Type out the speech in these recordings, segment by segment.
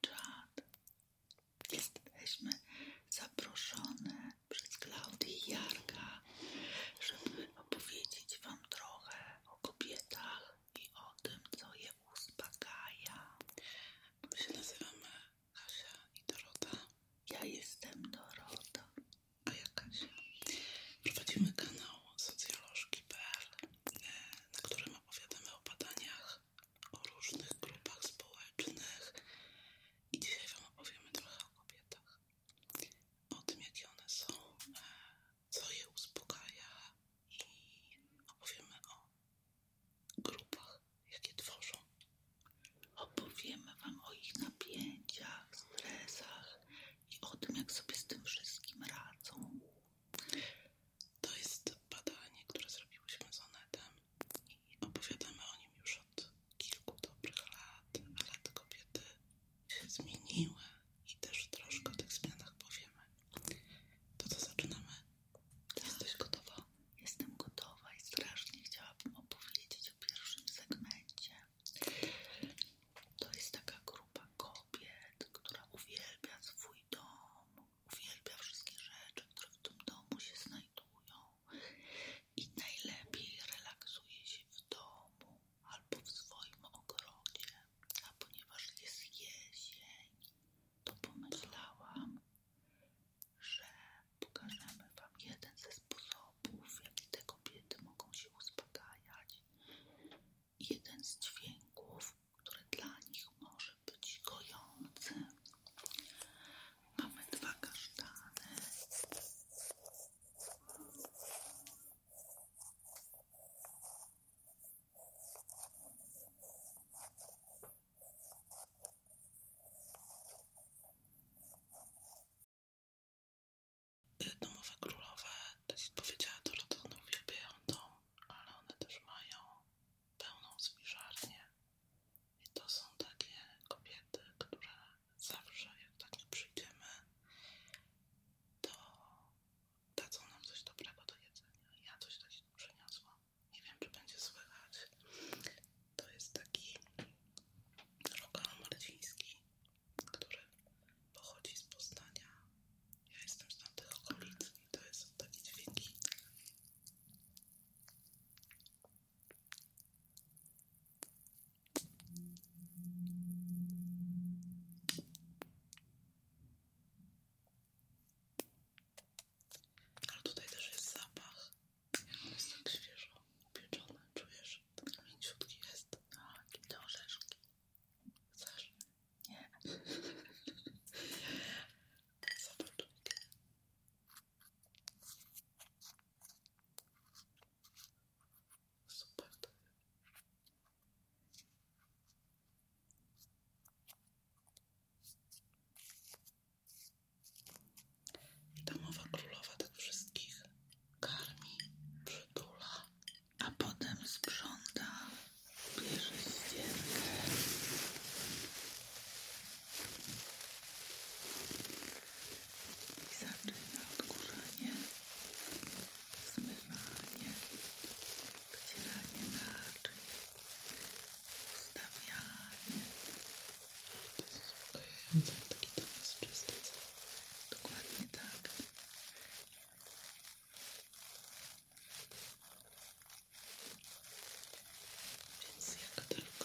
czat. Jesteśmy zaproszone przez Klaudię Jarka, żeby opowiedzieć Wam trochę o kobietach i o tym, co je uspokaja. My się nazywamy Kasia i Dorota. Ja jestem Dorota. A ja Kasia. Prowadzimy kanał socjolożki.pl, na którym opowiadamy o badaniach o różnych grupach społecznych i dzisiaj Wam opowiemy trochę o kobietach, o tym jakie one są, e, co je uspokaja i opowiemy o grupach, jakie tworzą. Opowiemy Wam o ich napięciach, stresach i o tym, jak sobie z tym wszystkim radzą. To jest badanie, które zrobiłyśmy z Onetem i opowiadamy o nim już od kilku dobrych lat, ale te kobiety się zmieniły i też troszkę o tych zmianach powiemy. To co, zaczynamy? Tak. Jesteś gotowa? Jestem gotowa i strasznie chciałabym opowiedzieć o pierwszym segmencie. To jest taka grupa kobiet, która uwielbia swój dom, uwielbia wszystkie rzeczy, które w tym domu się znajdują i najlepiej relaksuje się w domu albo w swoim ogrodzie, a ponieważ jest jesień, to pomyślałam, że pokażemy Wam jeden ze sposobów, w jaki te kobiety mogą się uspokajać. Jeden z dźwięków, które dla nich może być gojący. Mamy dwa kasztany. Domowe królowe, to się powiedziała, to no rodzone uwielbiają dom, ale one też mają pełną spiżarnię i to są takie kobiety, które zawsze jak tak nie przyjdziemy to dadzą nam coś dobrego do jedzenia. Ja coś takiego przyniosłam. Nie wiem, czy będzie słychać. To jest taki rokal marciński, który pochodzi z Poznania. Ja jestem z tamtych okolic i to jest takie dźwięki ale tutaj też jest zapach. On jest tak świeżo upieczony, czujesz? Tak mięciutki jest. Tak, i te orzeszki. Chcesz? Nie. Zawodujcie. Super królowa tych wszystkich karmi, przytula, a potem sprząta bierze ścierkę i zaczyna odkurzanie, zmywanie, wycieranie naczyń, ustawianie. Uspokajające, taki to jest czysty, dokładnie tak. Więc jak tylko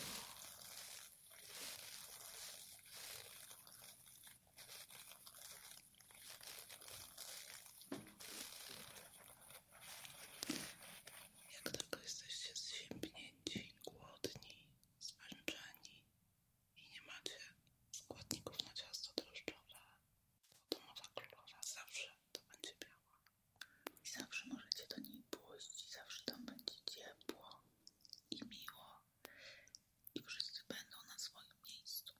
jak tylko jesteście zziębnięci, głodni, zmęczeni i nie macie składników na ciasto drożdżowe, to domowa królowa zawsze to będzie biała. I zawsze możecie do niej pójść, i zawsze tam będzie ciepło i miło, i wszyscy będą na swoim miejscu.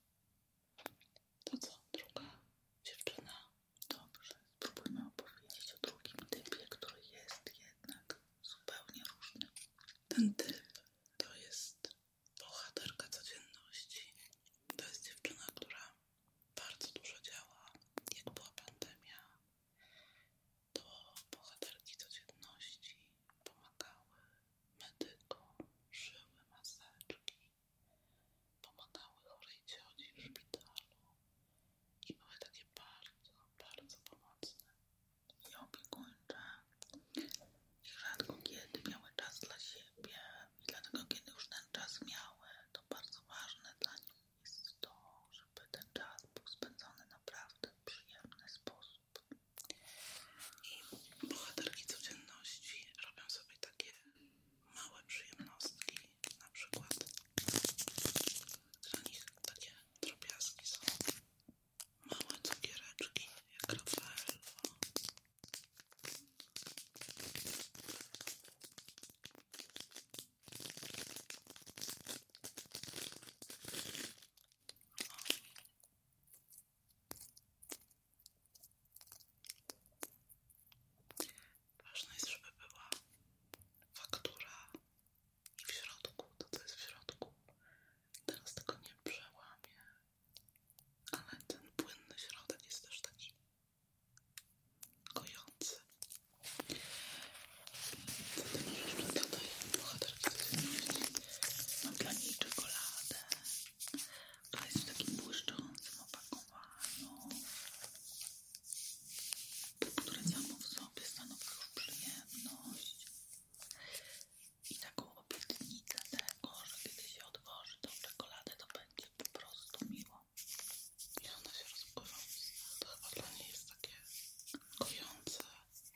To co, druga dziewczyna? Dobrze, spróbujmy opowiedzieć o drugim typie, który jest jednak zupełnie różny. Ten typ to jest bohaterka codzienności. To jest dziewczyna, która bardzo dużo działa. Jak była pandemia, to w bohaterki codzienności pomagały medykom, szyły maseczki, pomagały chorej cioci w szpitalu i były takie bardzo, bardzo pomocne i opiekuńcze. I rzadko kiedy miały czas dla siebie i dlatego kiedy już ten czas miały, to bardzo ważne dla nich jest to, żeby ten czas był spędzony naprawdę w przyjemny sposób. I bohaterki codzienności robią sobie takie małe przyjemnostki, na przykład dla nich takie drobiazgi są małe cukiereczki, jak Rafael. Ważne jest, żeby była faktura i w środku to, co jest w środku. Teraz tego nie przełamie, ale ten płynny środek jest też taki już kojące. Zatem jeszcze dodaję bohaterkę Mam dla niej czekoladę, która jest w takim błyszczącym opakowaniu, które samo w sobie stanowi już przyjemność i taką obietnicę tego, że kiedy się odwoży tą czekoladę, to będzie po prostu miło. I ona się rozpływa. To chyba dla niej jest takie kojące.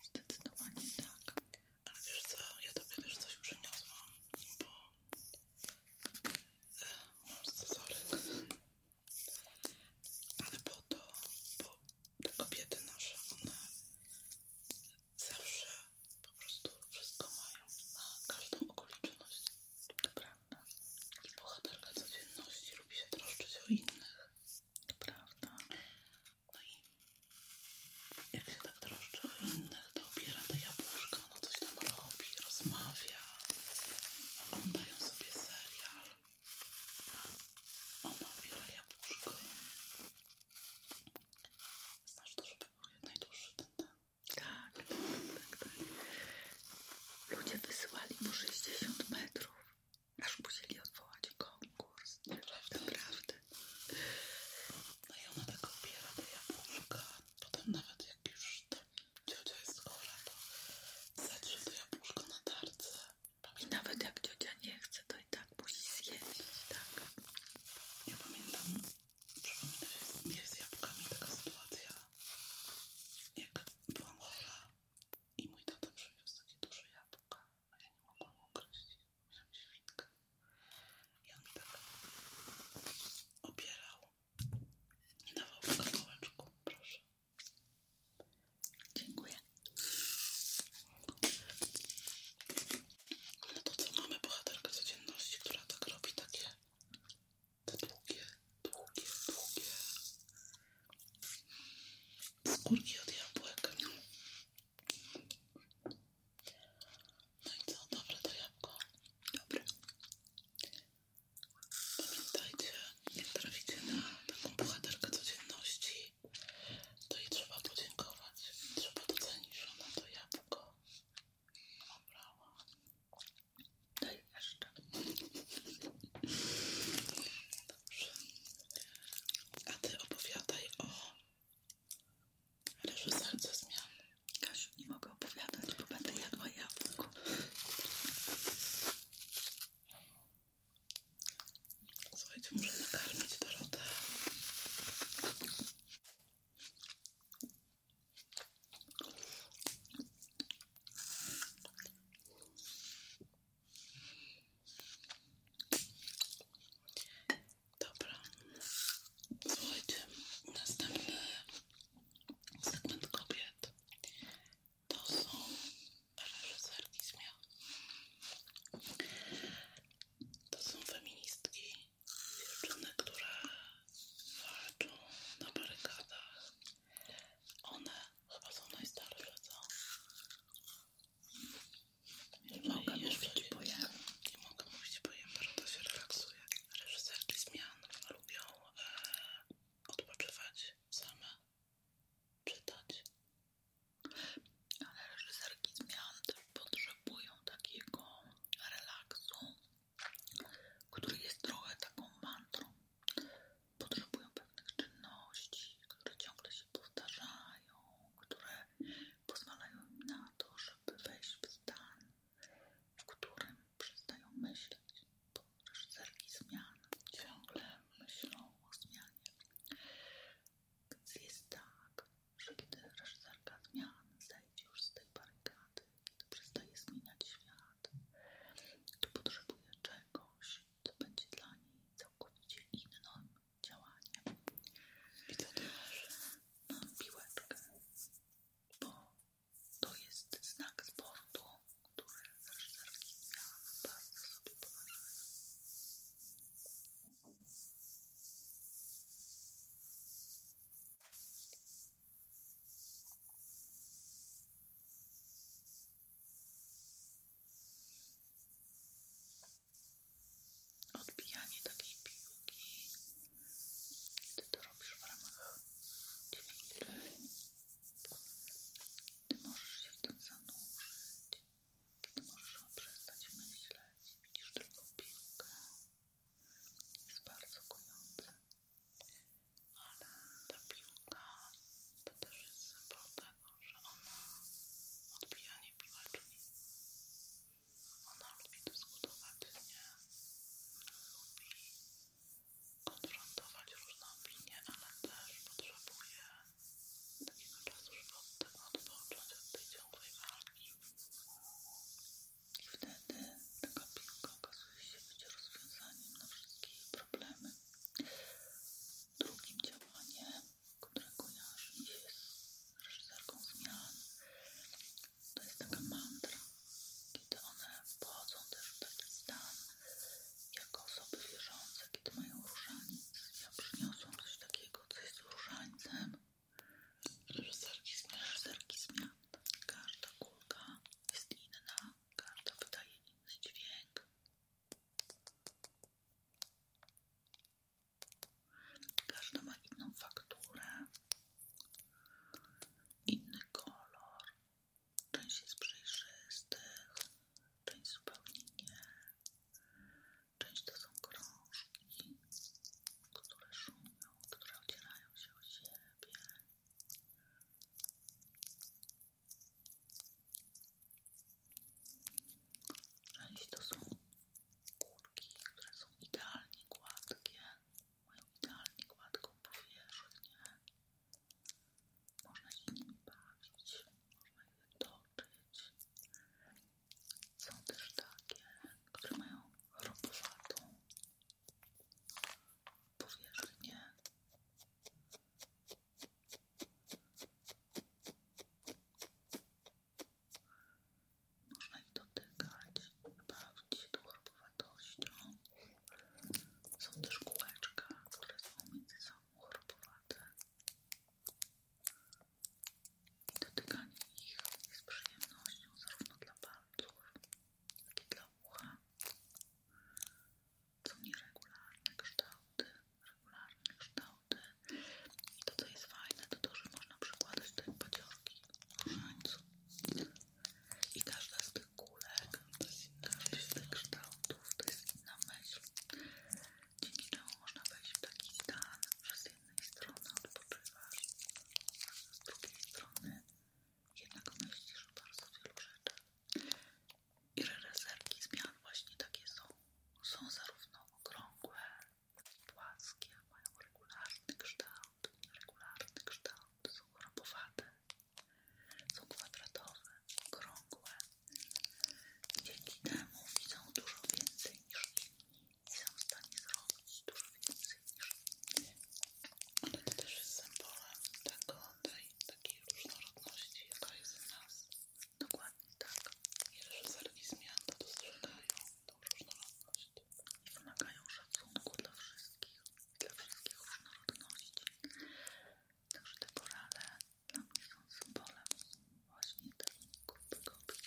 Zdecydowanie tak. Ale wiesz co, ja tobie też coś przyniosłam, bo mam e, scyzoryk. Ale po to, bo te kobiety nasze, one zawsze po prostu wszystko mają na każdą okoliczność. To prawda. I bohaterka codzienności lubi się troszczyć o innych. To prawda. No i jak się tak troszczy o innych, to obiera te jabłuszka, no coś tam robi, rozmawia, oglądają sobie serial. Ona obiera jabłuszko. Znasz to, żeby był najdłuższy ten ten. Tak, tak, tak, tak, Ludzie wysyłali mu 60 metrów, aż musieli odwołać konkurs. Naprawdę. Naprawdę. No i ona tak obiera te jabłuszka. Potem nawet jak już tam ciocia jest chora, to zacznie to jabłuszko na tarce. I nawet jak ciocia nie chce, to i tak musi zjeść, tak? Ja pamiętam, przypomina się z jabłkami taka sytuacja, jak Dwa chora i mój tata przywiózł takie duże jabłka, a ja nie mogłam ugryźć, Muszę świnkę i Ja mi tak obierał, nie dawał tego kołeczku, proszę. Dziękuję. No to co, mamy bohaterkę codzienności, która tak robi takie te długie, długie, długie skórki od jabłek. No i co? Dobre to jabłko? Dobre. Pamiętajcie, jak traficie na taką bohaterkę codzienności, to jej trzeba podziękować. Trzeba docenić, że ona to jabłko obrała. No jeszcze. Dobrze. A ty opowiadaj o reżyserce zmian. Kasiu, nie mogę opowiadać, bo będę jadła jabłko. Słuchajcie, muszę nakarmić Dorotę. Dobra, słuchajcie, następny segment kobiet to są reżyserki zmian. To są feministki, dziewczyny, które walczą na barykadach one chyba są najstarsze, co? Nie, nie mogę mówić, bo ja... Nie mogę mówić, bo ja się relaksuje. Reżyserki zmian lubią e, odpoczywać same, czytać. Ale reżyserki zmian też potrzebują takiego relaksu który jest trochę taką mantrą. Potrzebują pewnych czynności, które ciągle się powtarzają, które pozwalają im na to, żeby wejść w stan, w którym przestają myśleć, bo reżyserki zmian ciągle myślą o zmianie. Więc jest tak, że kiedy reżyserka zmian zejdzie już z tej barykady, to przestaje zmieniać świat, to potrzebuje czegoś, co będzie dla niej całkowicie innym działaniem. I to też mam bo to jest znak sportu, który reżyserki ja bardzo sobie poważuję. Odbijanie takiej piłki, ty to robisz w ramach dźwięki. Ty możesz się w tym zanurzyć, ty możesz przestać myśleć, widzisz tylko piłkę. Jest bardzo kojące ale ta piłka to też jest symbol tego, że ona odbija niepiłeczki. Ona lubi dyskutować, nie? Lubi konfrontować różne opinie, ale też potrzebuje takiego czasu, żeby od tego odpocząć, od tej ciągłej walki. I wtedy taka piłka okazuje rzeczywiście będzie rozwiązaniem na wszystkie problemy. Drugim działaniem, którego kojarzy mi się jest reżyserką zmian, to jest taka mantra, kiedy one wchodzą też w taki stan jako osoby wierzące, kiedy mają różaniec. a przyniosłam coś takiego, co jest różańcem reżyserki zmian. Każda kulka jest inna, Każda wydaje inny dźwięk. Każda ma inną fakturę, inny kolor. Część jest przejrzystych, część zupełnie nie. Część to są krążki, które szumią, które oddzielają się od siebie. Część to są kurki, które są idealnie gładkie, mają idealnie gładką powierzchnię. Można je nimi bawić, można je toczyć. Są też takie, które mają ropowatą powierzchnię. Można ich dotykać, bawić się tą chorobowatością. Są też kółeczka, które są między sobą chorobowate. I dotykanie ich jest przyjemnością zarówno dla palców, jak i dla ucha są nieregularne kształty, regularne kształty. I to, co jest fajne, to to, że można przykładać te paciorki różańcu. I każda z tych kulek, każdy z tych kształtów to jest inna myśl. Dzięki czemu można wejść w taki stan, że z jednej strony odpoczywasz, a z drugiej strony jednak myślisz o bardzo wielu rzeczach. I rezerki zmian właśnie takie są. Są zarówno okrągłe, płaskie, mają regularny kształt, regularny kształt, są robowate, są kwadratowe, okrągłe. Dzięki temu widzą dużo więcej niż inni i są w stanie zrobić dużo więcej niż inni. Ale to też jest symbolem taką. że tej takiej różnorodności, jaka jest w nas. Dokładnie tak. I reżyserki zmian to dostrzegają tą różnorodność i wymagają szacunku dla wszystkich, dla wszystkich różnorodności. Także te porale dla mnie są symbolem właśnie tej grupy kobiet.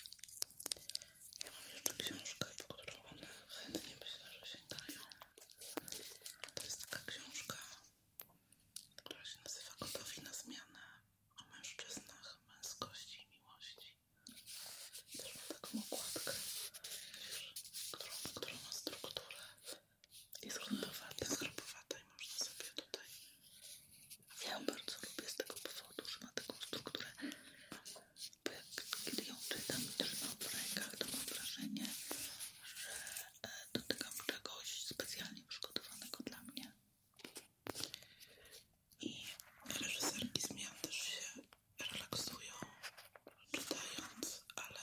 Ja mam jeszcze książkę, po którą one chętnie myślę, że dają to jest taka książka, która się nazywa Gotowi na zmianę o mężczyznach, męskości i miłości. To jest taką okładkę, którą, którą ma strukturę. Jest grubowata, jest grubowata i można sobie tutaj... Ja ją bardzo lubię z tego powodu, że ma taką strukturę. Bo jak, kiedy ją czytam i trzymam w rękach, to mam wrażenie, że E, dotykam czegoś specjalnie przygotowanego dla mnie. I reżyserki zmian też się relaksują czytając, ale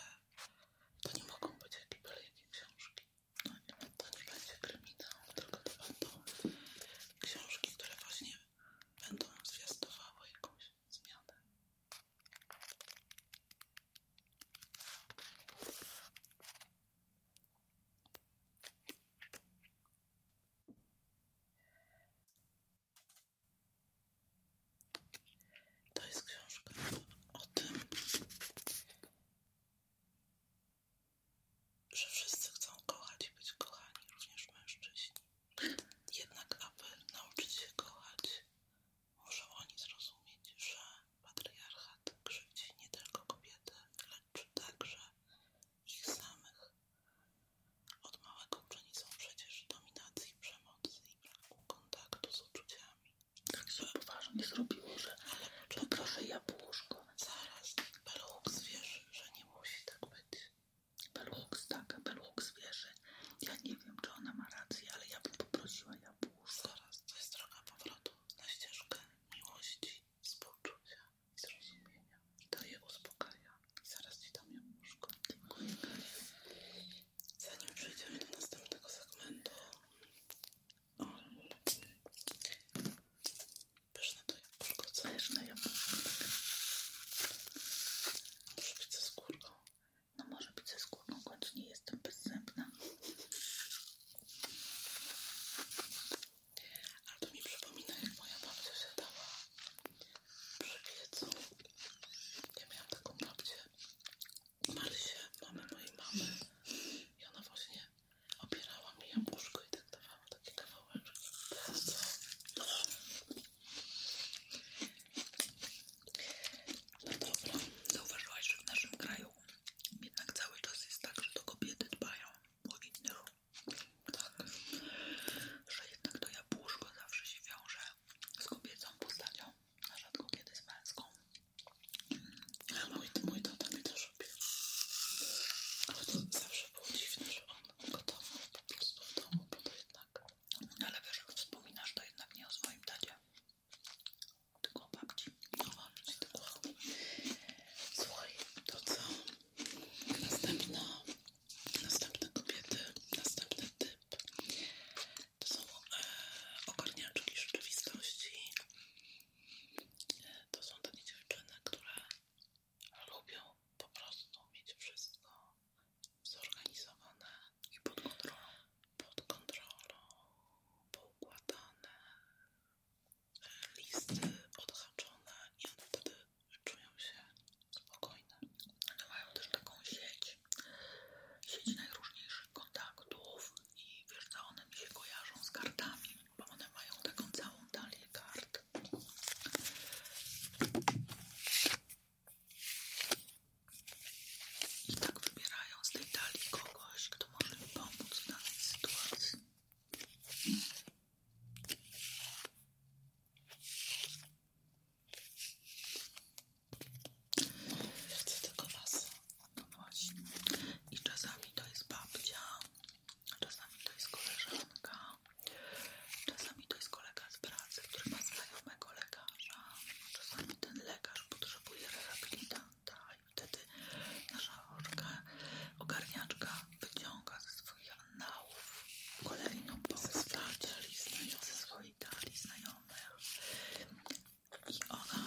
to nie mogą być jakieś wielkie książki. No nie, to nie będzie kryminał, tylko to będą książki, które właśnie będą zwiastowały jakąś zmianę. To jest książka o tym, że wszyscy chcą kochać i być kochani, również mężczyźni. Jednak, aby nauczyć się kochać, Muszą oni zrozumieć, że patriarchat krzywdzi nie tylko kobiety, lecz także ich samych. Od małego uczeni są przecież dominacji, przemocy i braku kontaktu z uczuciami. Tak się nie zrobiło, że Proszę, jabłuszko. Zaraz, Belhux wierzy, że nie musi tak być. Belhux tak, Belhux wierzy. Ja nie wiem, czy ona ma rację, ale ja bym poprosiła jabłuszko zaraz to jest droga powrotu na ścieżkę miłości, współczucia i zrozumienia. To je uspokaja. I zaraz ci dam ją łóżko. Dziękuję, Kaja. Zanim przejdziemy do następnego segmentu, o, pyszne to jabłko, co pyszne jabłko. Muszę być ze skórką. No może być ze skórką, choć nie jestem bezzębna. Ale to mi przypomina, jak moja babcia się dała przy piecu. Ja miałam taką babcię, Marysię, mamy mojej mamy. I ona właśnie opierała mi jabłuszko i tak dawała takie kawałek. To jest no dobra, zauważyłaś, że w naszym kraju jednak cały czas jest tak, że to kobiety dbają o innych. Tak, że jednak to ja jabłuszko zawsze się wiąże z kobiecą postacią, a rzadko kiedy z męską. Ja mój, mój tata mi też robił. Ale to zawsze było dziwne, że on gotował po prostu w domu, bo to jednak... Ale wiesz, jak wspominasz, to jednak nie o swoim tacie tylko babci. Chowam ci to kocham. Słuchaj, to co? Następna, następne kobiety, następny typ to są e, ogarniaczki rzeczywistości. to są takie dziewczyny, które lubią po prostu mieć wszystko zorganizowane i pod kontrolą pod kontrolą, poukładane, listy odhaczone i one wtedy czują się spokojne. One mają też taką sieć, sieć najróżniejszych kontaktów i wiesz co, one mi się kojarzą z kartami, bo one mają taką całą talię kart. I tak wybierają z tej dali kogoś, kto może mi pomóc w danej sytuacji. Chcę tylko was. No I czasami to jest babcia, czasami to jest koleżanka, czasami to jest kolega z pracy, który ma znajomego innego lekarza. Czasami ten lekarz potrzebuje rehabilitanta i wtedy nasza oczka, ogarniaczka wyciąga ze swoich annałów kolejną postać ze swojej dali znajomych. I ona,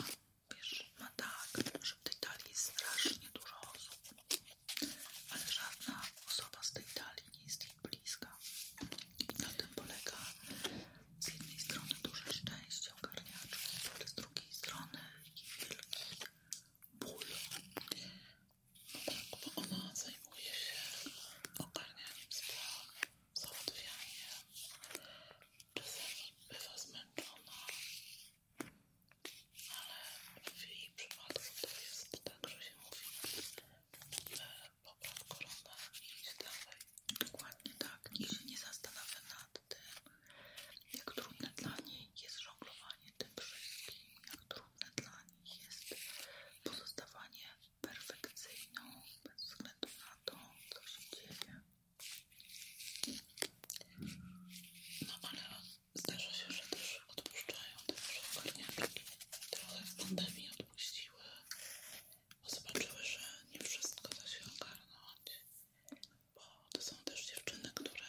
wiesz, ma tak, że w tej dali jest strasznie dużo osób, ale żadna osoba z tej dali nie jest jej bliska. I na tym polega z jednej strony dużo szczęście ogarniaczki, ale z drugiej strony wielki ból. No tak, bo ona zajmuje się ogarnianiem spraw, załatwianiem. Czasami bywa zmęczona, ale w jej przypadku to jest tak, że się mówi, że popraw koronę i iść dalej. Dokładnie tak. I się nie zastanawia nad tym, jak trudne dla niej jest żonglowanie tym wszystkim, jak trudne dla nich jest pozostawanie perfekcyjną bez względu na to, co się dzieje. No ale zdarza się, że też odpuszczają, też ogarniaczki. Trochę w pandemii odpuściły bo zobaczyły, że nie wszystko da się ogarnąć, bo to są też dziewczyny, które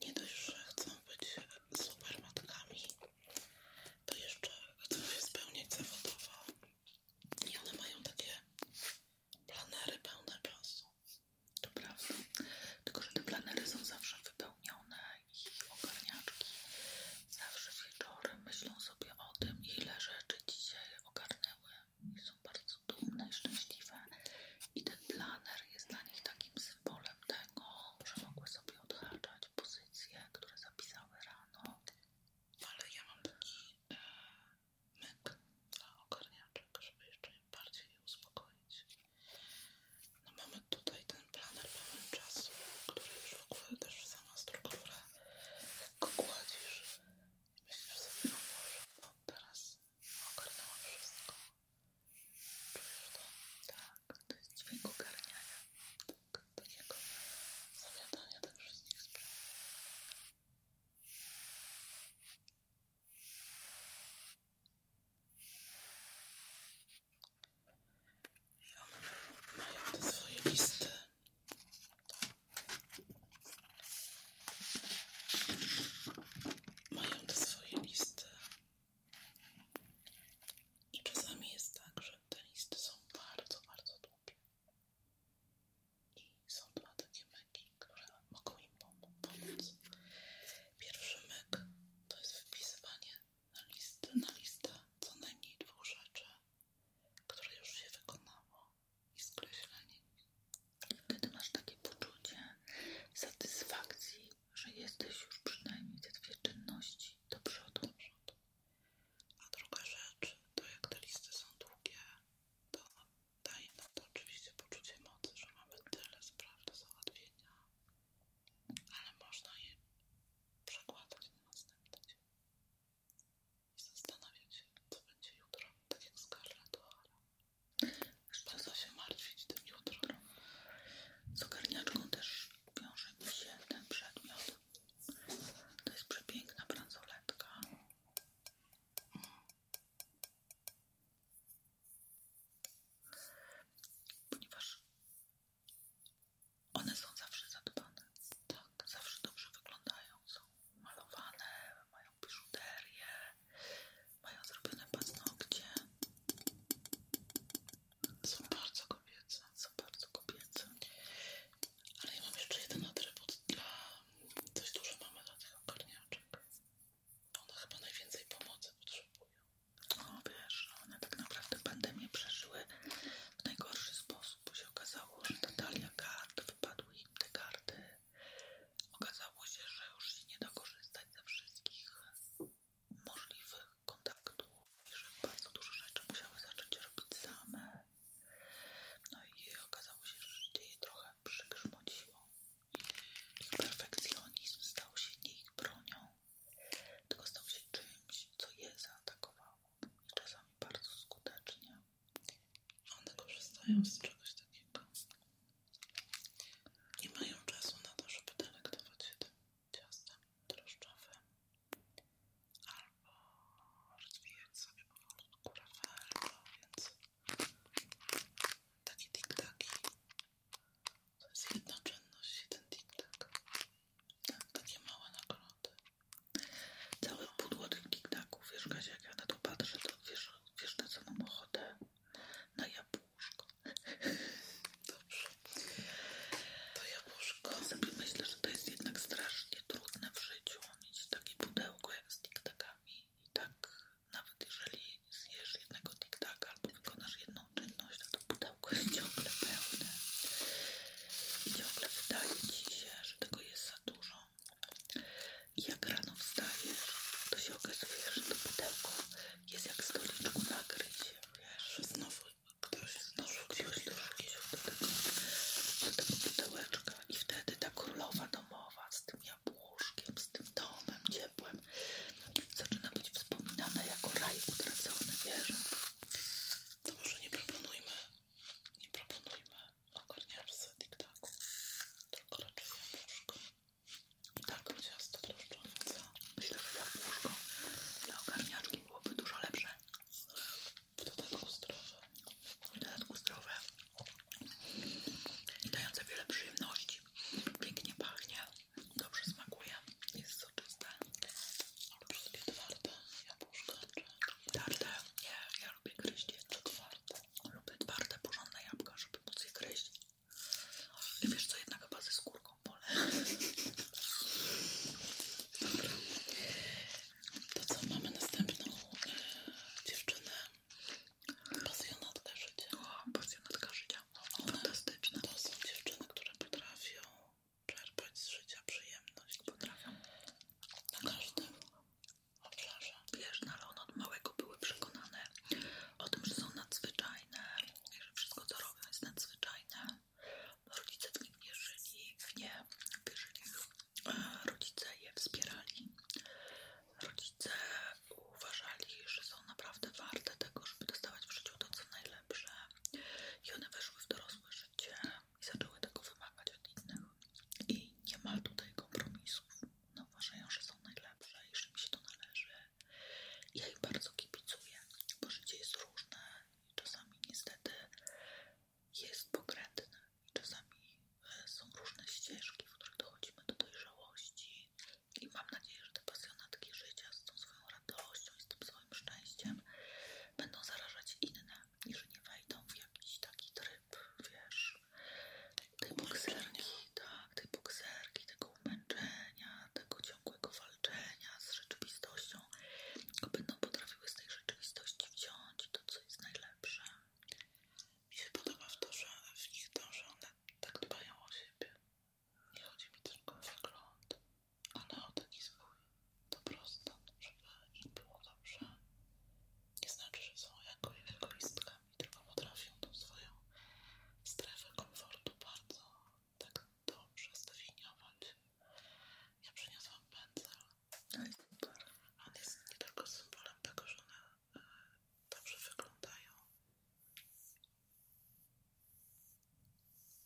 nie dość, że chcą być super matkami, to jeszcze chcą się spełniać zawodowo i one mają takie planery pełne czasu. To prawda, tylko że te planery są zawsze wypełnione i ogarniaczki zawsze wieczorem myślą sobie o tym, ile rzeczy dzisiaj ogarnęły są bardzo dumne szczęśliwe i ten planer jest dla nich takim symbolem tego, że mogły sobie odhaczać pozycje, które zapisały rano. Ale ja mam taki e, myk dla ogarniaczek, żeby jeszcze bardziej je uspokoić. No mamy tutaj ten planer pełen czasu, który już w ogóle też sama struktura, jak kładzisz, Teraz ogarnęłam wszystko. Czujesz to? Tak, to jest dźwięk ogarniania. Tak, takiego zawiadania tych wszystkich spraw. I one mają te swoje listy. Mają te swoje listy. I czasami jest tak, że te listy są bardzo, bardzo długie. I są dwa takie myki, które mogą im pomóc. Pierwszy myk to jest wypisywanie na listę, na listę co najmniej dwóch rzeczy, które już się wykonało i skreśleni. Wtedy masz takie poczucie satysfakcji, że jesteś już przynajmniej te dwie czynności do przodu. A druga rzecz, to jak te listy są długie, to daje nam to oczywiście poczucie mocy, że mamy tyle spraw do załatwienia, ale można je przekładać na następny i zastanawiać się, co będzie jutro, tak jak Scarlett O'Hara. Bardzo się martwić tym jutro. Z ogarniaczką też wiąże mi się ten przedmiot. To jest przepiękna bransoletka. Ponieważ one są zawsze zadbane, tak, zawsze dobrze wyglądają, są malowane, mają biżuterię, mają zrobione paznokcie. Są bardzo kobiece, są bardzo kobiece. Ale ja mam jeszcze jeden atrybut dla... Dość dużo mamy dla tych ogarniaczek. One chyba najwięcej pomocy potrzebują. O wiesz, one tak naprawdę pandemię przeżyły w najgorszy sposób bo się okazało, że Natalia kart, wypadły im te karty. Okazało się, że już się nie da korzystać ze wszystkich możliwych kontaktów i że bardzo dużo rzeczy musiały zacząć robić same. No i okazało się, że życie je trochę przygrzmociło. Ich perfekcjonizm stał się nie ich bronią, tylko stał się czymś, co je zaatakowało czasami bardzo skutecznie. One korzystają z czegoś takiego. Nie mają czasu na to, żeby delektować się tym ciastem drożdżowym albo rozwijać sobie powolutku albo więc taki tik tiktaki to jest jedna czynność, jeden tiktak. Tak, takie małe nagrody cały pudło tych Wiesz, Kasia, jak ja na to patrzę, to wiesz, wiesz na co mam ochotę? Na jabłuszko. Dobrze. To jabłuszko. Sobie myślę, że to jest jednak strasznie trudne w życiu mieć takie pudełko jak z tiktakami. I tak nawet jeżeli zjesz jednego tiktaka albo wykonasz jedną czynność, to to pudełko jest ciągle pełne. I ciągle wydaje ci się, że tego jest za dużo. I jak rano wstajesz, to się okazuje, że to pudełko jest jak stoliczku nakrycie. Wiesz, że znowu ktoś znowu gdzieś dorzucił do tego, do tego pudełeczka. I wtedy ta królowa domowa z tym jabłuszkiem, z tym domem ciepłem zaczyna być wspominana jako raj utracony, wiesz? To może nie proponujmy nie proponujmy ogarniarstwa TikToku, tylko raczej jabłuszko. Tak, ciasto drożdżowe, co? Myślę, że jabłuszko dla ogarniaczki byłoby dużo lepsze. W dodatku zdrowe. W dodatku zdrowe. I dające wiele przyjemności. Pięknie pachnie, dobrze smakuje, jest soczyste. Wszystkie twarde jabłuszka czy... Twarde, nie, ja lubię gryźć jeszcze twarde. Lubię twarde, porządne jabłka, żeby móc je gryźć. I wiesz co, jednak chyba ze skórką Dobra. To co, mamy następną e, dziewczynę. Pasjonatka życia. O, pasjonatka życia. One, Fantastyczne. To są dziewczyny, które potrafią czerpać z życia przyjemność. Potrafią. Na każdym Wiesz, no ale one od małego były przekonane o tym, że są nadzwyczajne że wszystko co robią jest nadzwyczajne. Rodzice w nim wierzyli, w nie wierzyli. E, rodzice je wspierali. Rodzice uważali, że są naprawdę warte tego, żeby dostawać w życiu to, co najlepsze. I one weszły w dorosłe życie i zaczęły tego wymagać od innych. I nie ma tutaj kompromisów. No, uważają, że są najlepsze i że mi się to należy. Ja ich bardzo kibicuję, bo życie jest różne i czasami niestety jest pokrętne. I czasami e, są różne ścieżki, w których dochodzimy do dojrzałości. I mam nadzieję, że te pasjonatki życia z tą swoją radością i z tym swoim szczęściem będą zarażać inne i że nie wejdą w jakiś taki tryb wiesz, tej bokserki, tak, tej bokserki, tego umęczenia, tego ciągłego walczenia z rzeczywistością, tylko będą potrafiły z tej rzeczywistości wziąć to, co jest najlepsze. Mi się podoba w to, że w one tak dbają o siebie. Nie chodzi mi tylko o wygląd, ale o taki swój dobrostan, żeby im było dobrze, nie znaczy, że są jako egoistkami, tylko potrafią tą swoją strefę komfortu bardzo tak dobrze zdefiniować. Ja przyniosłam pędzel. No On jest nie tylko symbolem tego, że one e, dobrze wyglądają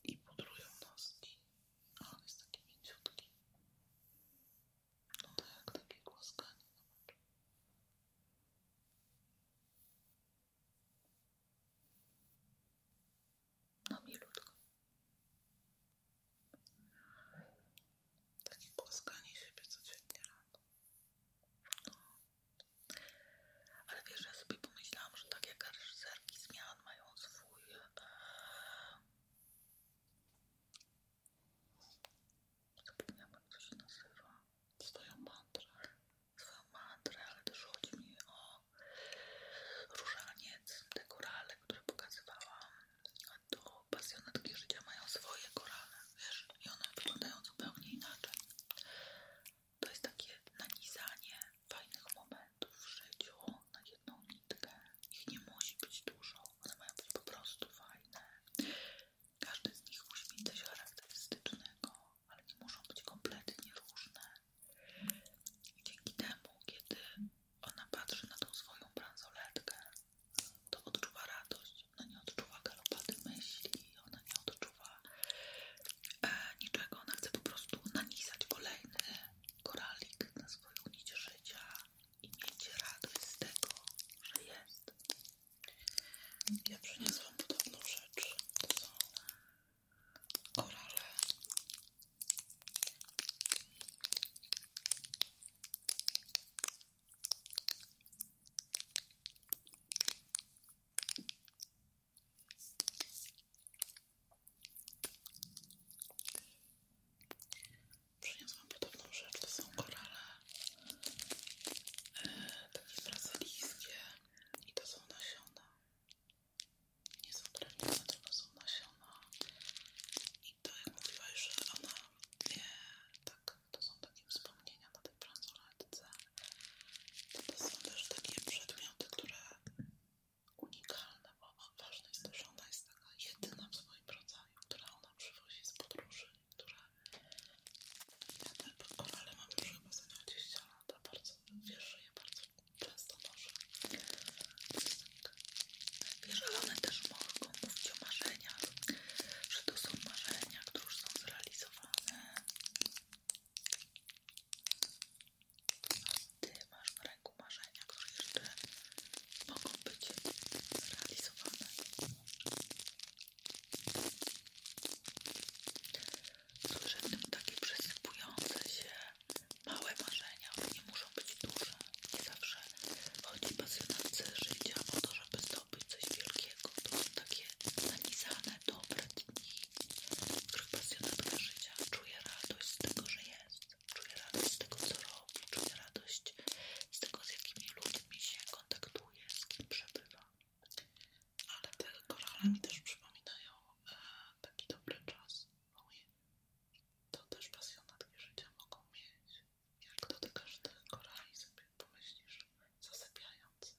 i pudrują noski, a on jest taki mięciutki. No tak, takie głaskanie, zobacz. No milutko. Takie głaskanie siebie codziennie rano. No. Ale wiesz, ja sobie pomyślałam, że tak jak reżyserki zmian mają swój... E, zapomniałam jak to się nazywa. Swoją mantrę. Swoją mantrę, ale też chodzi mi o różaniec, te korale, które pokazywałam. A to pasjonatki życia mają swoje korale, wiesz, i one wyglądają zupełnie inaczej. To jest takie nanizanie fajnych momentów w życiu na jedną ich nie musi być dużo, one mają być po prostu fajne. Każdy z nich musi mieć coś charakterystycznego, ale nie muszą być kompletnie różne. Dzięki temu, kiedy ona patrzy na tą swoją bransoletkę, to odczuwa radość, ona nie odczuwa galopady myśli, ona nie odczuwa e, niczego, ona chce po prostu nanisać kolejny koralik na swoją nić życia i miejcie radość z tego, że jest. Ja przyniosłam podobną rzecz. To są korale. Przyniosłam podobną rzecz, to są korale e, takie brazylijskie i to są nasiona. Nie są drewniane, tylko są nasiona. I to jak mówiłaś, że ona nie, tak, to są takie wspomnienia na tej bransoletce. To, to są też takie przedmioty, które unikalne, bo ważne jest to, że ona jest taka jedyna w swoim rodzaju, która ona mama z podróży, która ja ten korale mam już chyba za 20 lat, bardzo wierzę je bardzo często noszę. Wiesz, ale one też mogą mówić o marzeniach, że to są marzenia, które już są zrealizowane. Ty masz w ręku marzenia, które jeszcze mogą być zrealizowane. Słyszę w tym takie przesypujące się małe marzenia, one nie muszą być duże. Nie zawsze chodzi pasjonatce życia o to, żeby zdobyć coś wielkiego. To takie nanizane, dobre dni, w których pasjonatka życia czuje radość z tego, że jest. Czuje radość z tego, co robi, czuje z tego, z jakimi ludźmi się kontaktuje, z kim przebywa. Ale te korale mi też przypominają e, taki dobry czas. To też pasjonatki życia mogą mieć. Jak dotykasz tych korali, sobie pomyślisz, zasypiając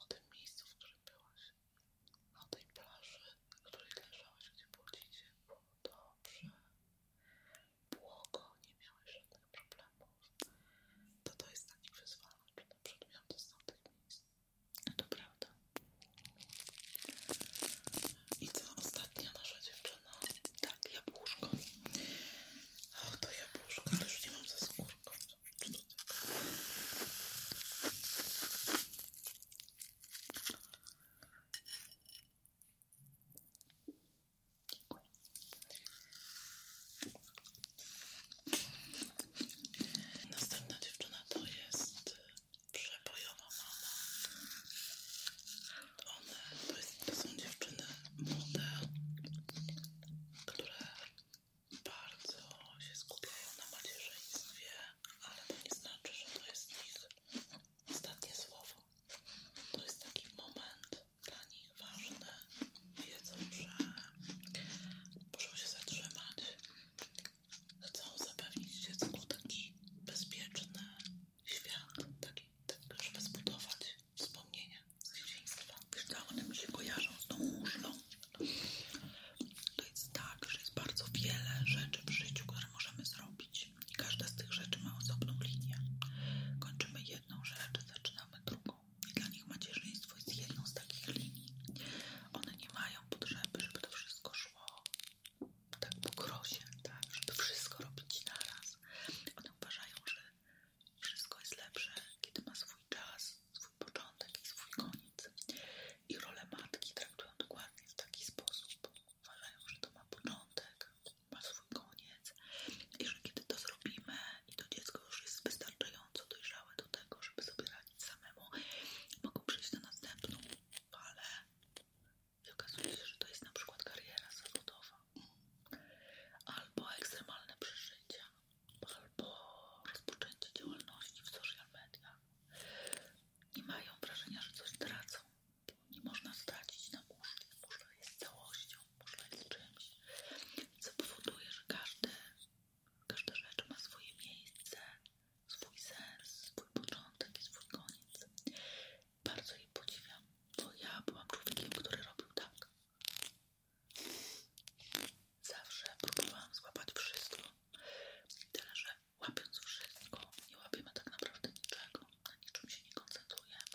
o tym miejscu, w którym byłaś, o tej plaży, w której leżałaś, gdzie było dziecię. Było dobrze błogo, nie miałeś żadnych problemów, to to jest taki wyzwalacz na przedmioty z tamtych miejsc. No to prawda. I co ostatnia nasza dziewczyna? Tak, jabłuszko. O, to jabłuszka, ale już nie mam ze skórką. Następna dziewczyna to jest przebojowa mama. One to, to są dziewczyny młode, które bardzo się skupiają na macierzyństwie, ale to nie znaczy, że to jest ich ostatnie słowo. To jest taki moment dla nich ważny. Wiedzą, że muszą się zatrzymać. Chcą zapewnić dziecku taki bezpieczny świat, taki, tak, żeby zbudować wspomnienia z dzieciństwa. One mi się kojarzą z tą muszlą. To jest tak, że jest bardzo wiele rzeczy w życiu, które możemy zrobić. Każda z tych rzeczy ma osobną linię. Kończymy jedną rzecz, zaczynamy drugą. I dla nich macierzyństwo jest jedną z takich linii. One nie mają potrzeby, żeby to wszystko szło tak po krosie, tak? żeby wszystko robić naraz. One uważają, że wszystko jest lepsze, kiedy ma swój czas, swój początek i swój koniec. I role matki traktują dokładnie w taki sposób. Uważają, że to ma początek, ma swój koniec i że kiedy to zrobimy i to dziecko już jest wystarczająco dojrzałe do tego, żeby sobie radzić samemu, mogą przejść na następną ale i okazuje się, że to jest na przykład kariera zawodowa albo ekstremalne przeżycia albo rozpoczęcie działalności w social mediach i mają wrażenie, że coś tracą nie można stracić na muszli. Muszla jest całością, muszla jest czymś, co powoduje, że każde, każda rzecz ma swoje miejsce, swój sens, swój początek i swój koniec. Bardzo jej podziwiam, bo ja byłam człowiekiem, który robił tak. Zawsze próbowałam złapać wszystko, tyle że łapiąc wszystko, nie łapiemy tak naprawdę niczego, na niczym się nie koncentrujemy,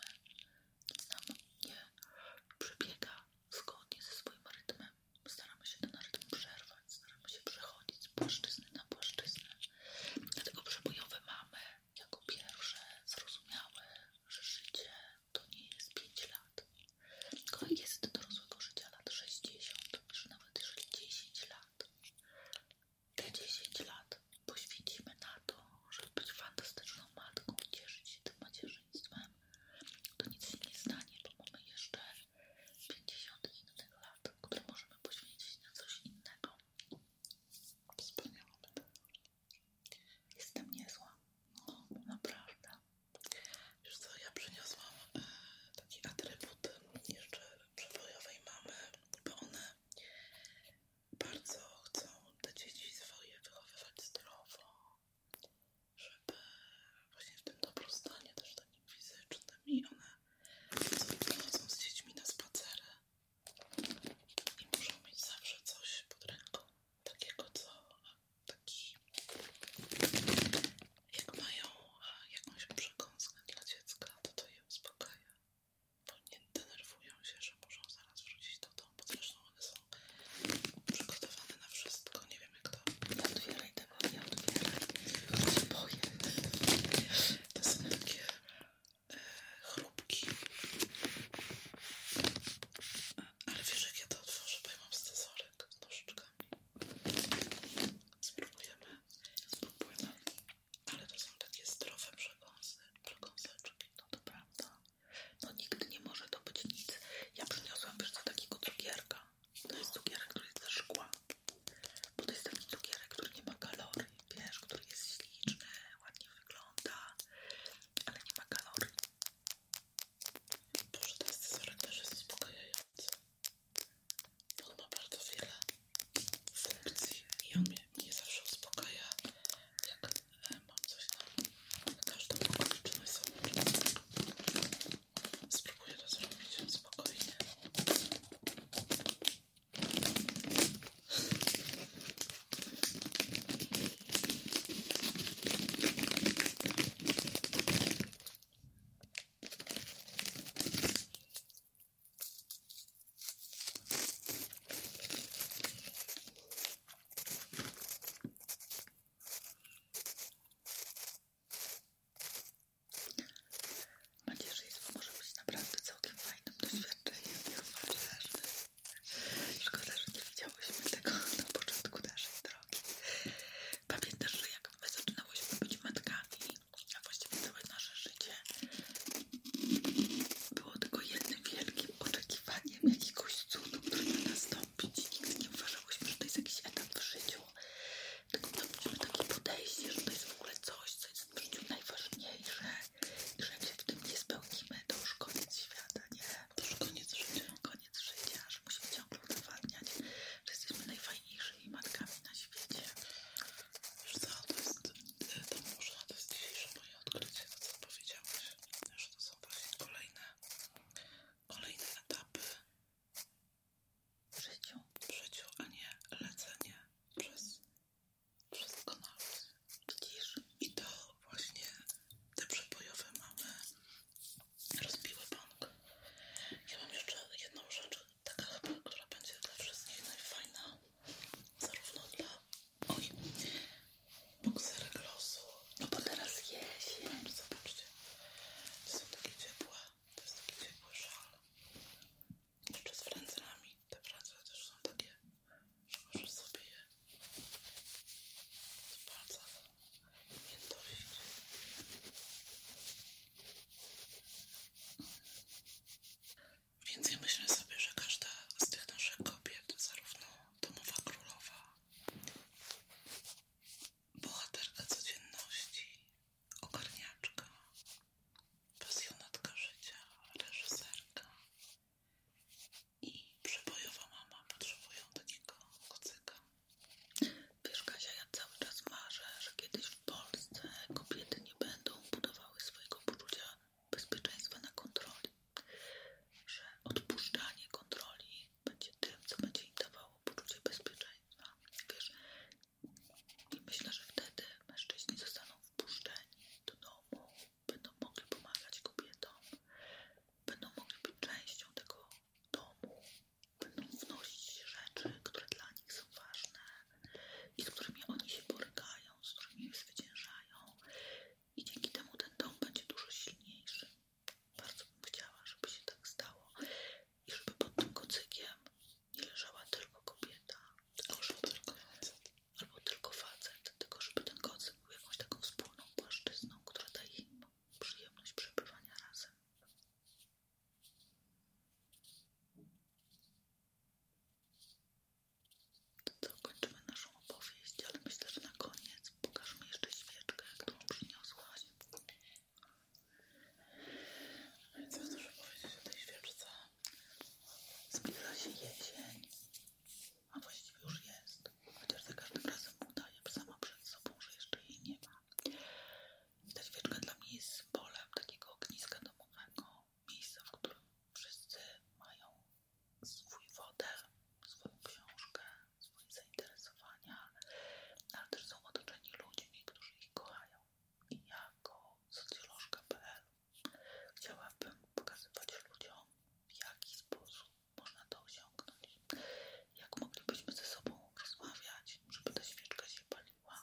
sam nie przebiega zgodnie ze swoim rytmem. Staramy się ten rytm przerwać, staramy się przechodzić z płaszczyzny na płaszczyznę. Dlatego przebojowe mamy jako pierwsze zrozumiałe że życie to nie jest 5 lat, tylko jest dorosłego życia lat 60, że nawet jeżeli 10 lat te 10 lat poświęcimy na to, żeby być fantastyczną matką i cieszyć się tym macierzyństwem, to nic się nie stanie, bo mamy jeszcze 50 innych lat, które możemy poświęcić na coś innego. Wspaniałe. Jestem niezła. No, naprawdę. Już co, ja przyniosłam e, taki atrybut jeszcze przebojowej mamy, bo one bardzo chcą te dzieci swoje wychowywać zdrowo, żeby właśnie w tym dobrostanie też takim fizycznym i one chodzą z dziećmi na spacery i muszą mieć zawsze coś pod ręką takiego, co taki jak mają e, jakąś przekąskę dla dziecka, to to je uspokaja bo no nie denerwują się, że muszą zaraz wrócić do domu, bo zresztą no one są przygotowane na wszystko. Nie wiem jak to... Otwieraj tego, nie otwieraj. boję. To są takie e, Ale wiesz jak ja to otworzę, bo ja mam stezorek z nożyczkami. Spróbujemy. Spróbujmy. Ale to są takie zdrowe przekąsy, przekąseczki. No dobra. No nigdy nie może to być nic. Ja przyniosłam wiesz co takiego cukierka. To jest cukierka, który jest ze szkła. to jest taki cukierek, który nie ma kalorii, wiesz, który jest śliczny, ładnie wygląda, ale nie ma kalorii. Boże, ten scyzoryk też jest uspokajający. On ma bardzo wiele funkcji i on mnie, nie zawsze uspokaja jak e, mam coś na każdą okoliczność zobaczyć. Spróbuję to zrobić spokojnie. Mam nadzieję, że to może być naprawdę całkiem fajnym doświadczeniem dla maciarzy. Szkoda, że nie widziałyśmy tego na początku naszej drogi. Pamiętasz, że jak my zaczynałyśmy być matkami, a właściwie całe nasze życie, było tylko jednym wielkim oczekiwaniem jakiegoś cudu, który ma nastąpić i nigdy nie uważałyśmy, że to jest jakiś etap w życiu. Tylko mieliśmy takie podejście, że to jest w ogóle coś, co jest w życiu najważniejsze i że jak się w tym nie spełnimy, to już koniec świata, nie? To już koniec życia. Koniec życia, że musimy ciągle udowadniać, że jesteśmy najfajniejszymi matkami na świecie. Wiesz co, to jest, to może to jest dzisiejsze moje odkrycie, to co powiedziałeś, że to są właśnie kolejne, kolejne etapy w życiu, a nie lecenie przez, przez kanał. Widzisz? I to właśnie te przebojowe mamy rozbiły bank. Ja mam jeszcze jedną rzecz, taka która będzie dla wszystkich najfajna, zarówno dla Oj, bokser glosu. No bo teraz jesień, zobaczcie. To są takie ciepłe. To jest taki ciepły szal. Jeszcze z frędzlami. Te frędzle też są takie, że możesz sobie je z palca miętosić. Więc myślę sobie, że każda z tych naszych kobiet, zarówno domowa królowa, bohaterka codzienności, ogarniaczka, pasjonatka życia, reżyserka i przebojowa mama potrzebują takiego kocyka. Wiesz Kasia, ja cały czas marzę, że kiedyś w Polsce kobiety nie będą budowały swojego poczucia bezpieczeństwa na kontroli że odpuszczanie kontroli będzie tym, co będzie im dawało poczucie bezpieczeństwa. Wiesz, myślę, że wtedy mężczyźni zostaną wpuszczeni do domu, będą mogli pomagać kobietom, będą mogli być częścią tego domu, będą wnosić rzeczy, które dla nich są ważne i z którymi oni się borykają, z którymi zwyciężają i dzięki temu ten dom będzie dużo silniejszy. Bardzo bym chciała, żeby się tak stało i żeby pod tym kocykiem nie leżała tylko kobieta, albo żeby, tylko facet, albo tylko facet, tylko żeby ten kocyk był jakąś taką wspólną płaszczyzną, która daje im przyjemność przebywania razem. To co, kończymy naszą opowieść, ale myślę, że na koniec pokaż mi jeszcze świeczkę, którą przyniosłaś. Co muszę powiedzieć o tej świeczce? Zbliża się jesień, a właściwie już jest, chociaż za każdym razem udaję sama przed sobą, że jeszcze jej nie ma. I ta świeczka dla mnie jest polem takiego ogniska domowego, miejsca, w którym wszyscy mają swój wodę, swoją książkę, swoje zainteresowania, ale też są otoczeni ludźmi, którzy ich kochają. I jako socjolożka.pl chciałabym pokazywać ludziom, w jaki sposób można to osiągnąć, jak moglibyśmy ze sobą rozmawiać, żeby ta świeczka się paliła,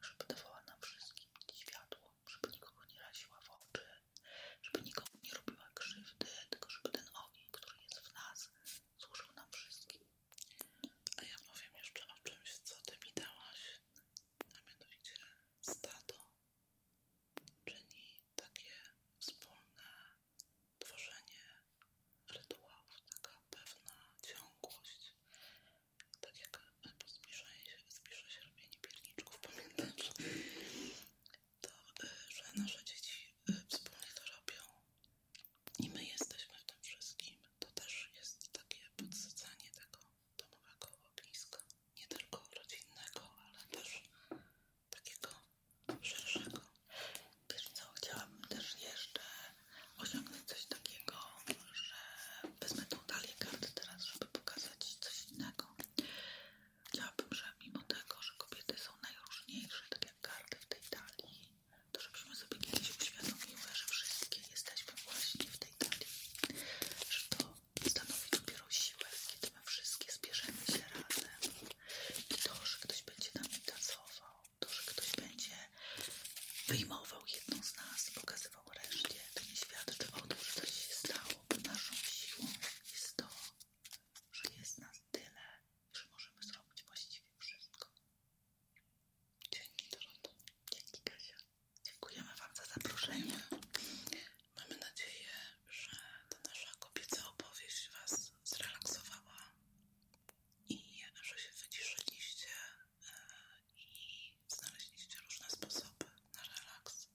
żeby dawała nam wszystkim światło żeby nikogo nie raziła w oczy, żeby nikogo nie robiła krzywdy, tylko żeby ten ogień, który jest w nas, służył nam wszystkim. A ja powiem jeszcze o czymś, co Ty mi dałaś, a mianowicie stado czyni takie wspólne tworzenie rytuałów, taka pewna ciągłość, tak jak po zbliżeniu się, zbliża się robienie pierniczków, pamiętasz? to, y, że nasze dzieci y, wspólnie to robią i my jesteśmy w tym wszystkim, to też jest takie podsycanie tego domowego ogniska, nie tylko rodzinnego, ale też takiego szerszego. Wiesz co, chciałabym też jeszcze osiągnąć coś takiego, że wezmę tą talię teraz, żeby pokazać coś innego. Chciałabym, że mimo tego, że kobiety są najróżniejsze, tak jak karty w tej dali, to żebyśmy sobie kiedyś uświadomiły, że wszystkie jesteśmy właśnie w tej dali, że to stanowi dopiero siłę, kiedy my wszystkie zbierzemy się razem i to, że ktoś będzie nami tacował, to, że ktoś będzie wyjmował jedną z nas i pokazywał reszcie, to nie świadczy o tym, że coś się stało, bo naszą siłą jest to, że jest nas tyle, że możemy zrobić właściwie wszystko. Dzięki Doroto. Dzięki Kasia. Dziękujemy Wam za zaproszenie. Mamy nadzieję, że ta nasza kobieca opowieść Was zrelaksowała i że się wyciszyliście e, i znaleźliście różne sposoby na relaks.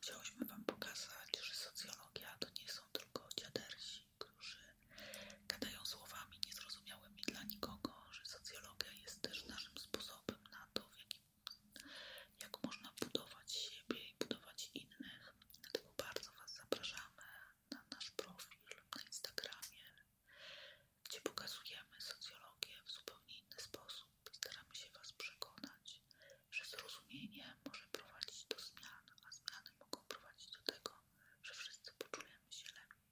Chciałyśmy Wam pokazać, że socjologia to nie są tylko dziadersi, którzy gadają słowami niezrozumiałymi dla nikogo, że socjologia jest też naszym sposobem na to, w jakim, jak można budować siebie i budować innych. Dlatego bardzo Was zapraszamy na nasz profil na Instagramie, gdzie pokazujemy socjologię w zupełnie inny sposób. Staramy się Was przekonać, że zrozumienie może prowadzić do zmian, a zmiany mogą prowadzić do tego, że wszyscy poczujemy się lepiej.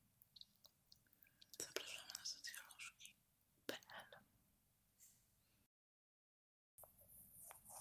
Zapraszamy na socjolożki.pl Ja zaraz zasnę.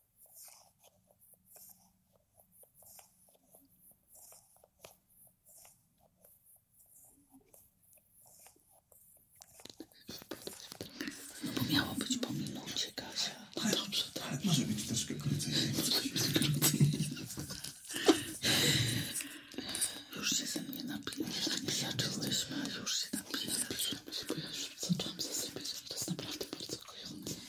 No bo miało być po minucie, Kasia. No dobrze, tak. Może być troszkę krócej. Już się ze mnie napijesz. Napijaczyłyśmy, tak już się napijesz. Zaczęłam zasypiać. To jest naprawdę bardzo kojone.